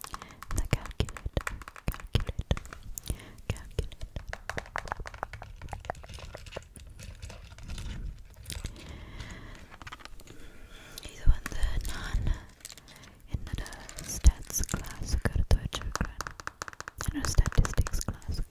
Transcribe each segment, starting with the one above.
The calculator, calculator, calculator. ഇത് വന്ന് എന്നൊരു സ്റ്റാറ്റ്സ് ക്ലാസ് എടുത്ത് വെച്ചിരിക്കുകയാണ് എന്നൊരു statistics class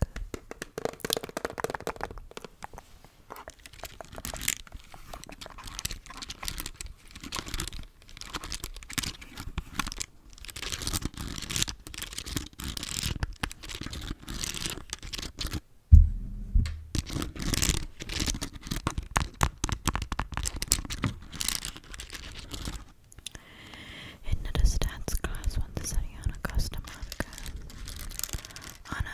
Another stats class one the Sariana custom Anna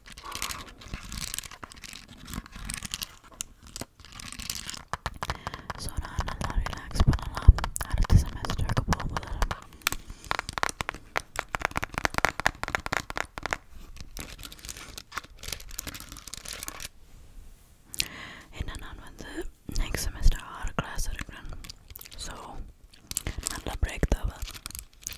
Sonra relax banana her iki semester kapamaları and then on the next semester our class are so நல்ல break தவ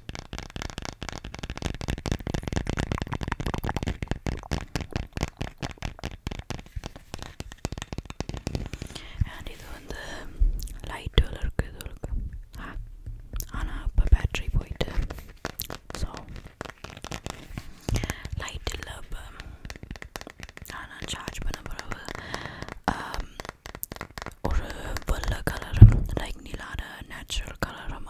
And இது வந்து லைட்டுல இருக்கு இது இருக்கு ஆனா இப்ப பேட்டரி போயிட்டு so லைட் இல்ல இப்ப ஆனா சார்ஜ் பண்ண பிறகு ஒரு வெள்ளை கலரும் லைக் நிலான நேச்சுரல் கலரும்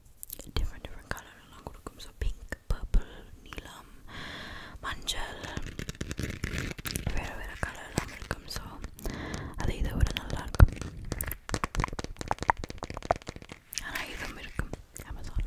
different different color எல்லாம் கொடுக்கும் so pink purple நீலம் மஞ்சள் வேற வேற color எல்லாம் இருக்கும் so அது இதை விட நல்லா இருக்கும் ஆனா இதுவும் இருக்கும் அமேசான்ல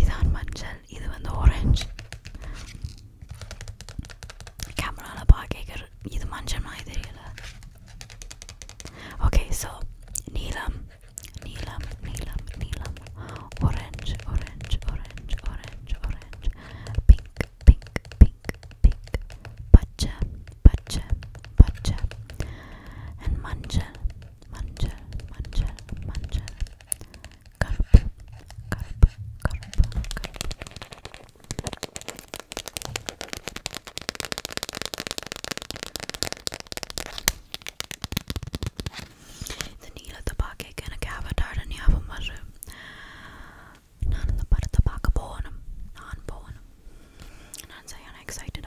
இதான் மஞ்சள் இது வந்து orange கேமரால பாக்கேக்குற இது மஞ்சள் மாதிரி தெரியல ஓகே ஸோ நீலம் நீலம் நீலம் நீலம் orange orange orange orange orange pink pink pink pink பச்சை பச்சை பச்சை and மஞ்சள் Manchel, manchel, manchel. Carp, carp, carp, carp. Ze niet te bakken kunnen hebben daar niet hebben, maar ze. None of the part of the back bone. Non bone. And I'm excited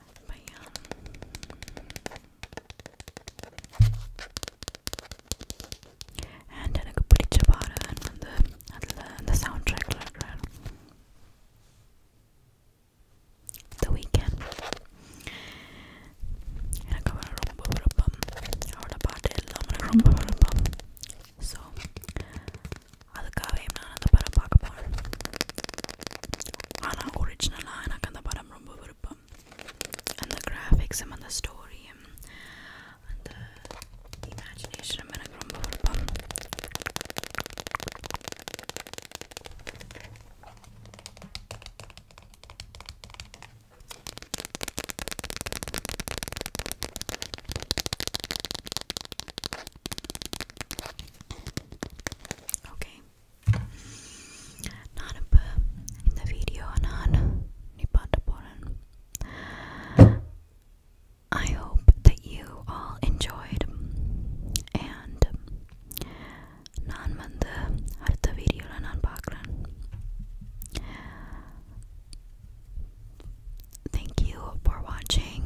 but And எனக்கு பிடிச்ச பாடல் வந்து அதுல அந்த சவுண்ட் ட்ராக்ல இருக்கிற The Weeknd எனக்கு அவரை ரொம்ப விருப்பம் அவரோட பாட்டு எல்லாம் எனக்கு ரொம்ப விருப்பம் ஸோ அதுக்காகவே நான் அந்த படம் பார்க்க போனேன் ஆனால் ஒரிஜினலாக எனக்கு அந்த படம் ரொம்ப விருப்பம் அந்த கிராஃபிக்ஸும் அந்த ஸ்டோரியும் அந்த இமேஜினேஷனும் எனக்கு ரொம்ப விருப்பம் Okay. நானும் இந்த வீடியோ நான் நிப்பாட்ட போறேன். I hope that you all enjoyed and நான் வந்து அடுத்த வீடியோல நான் பார்க்குறேன். Thank you for watching.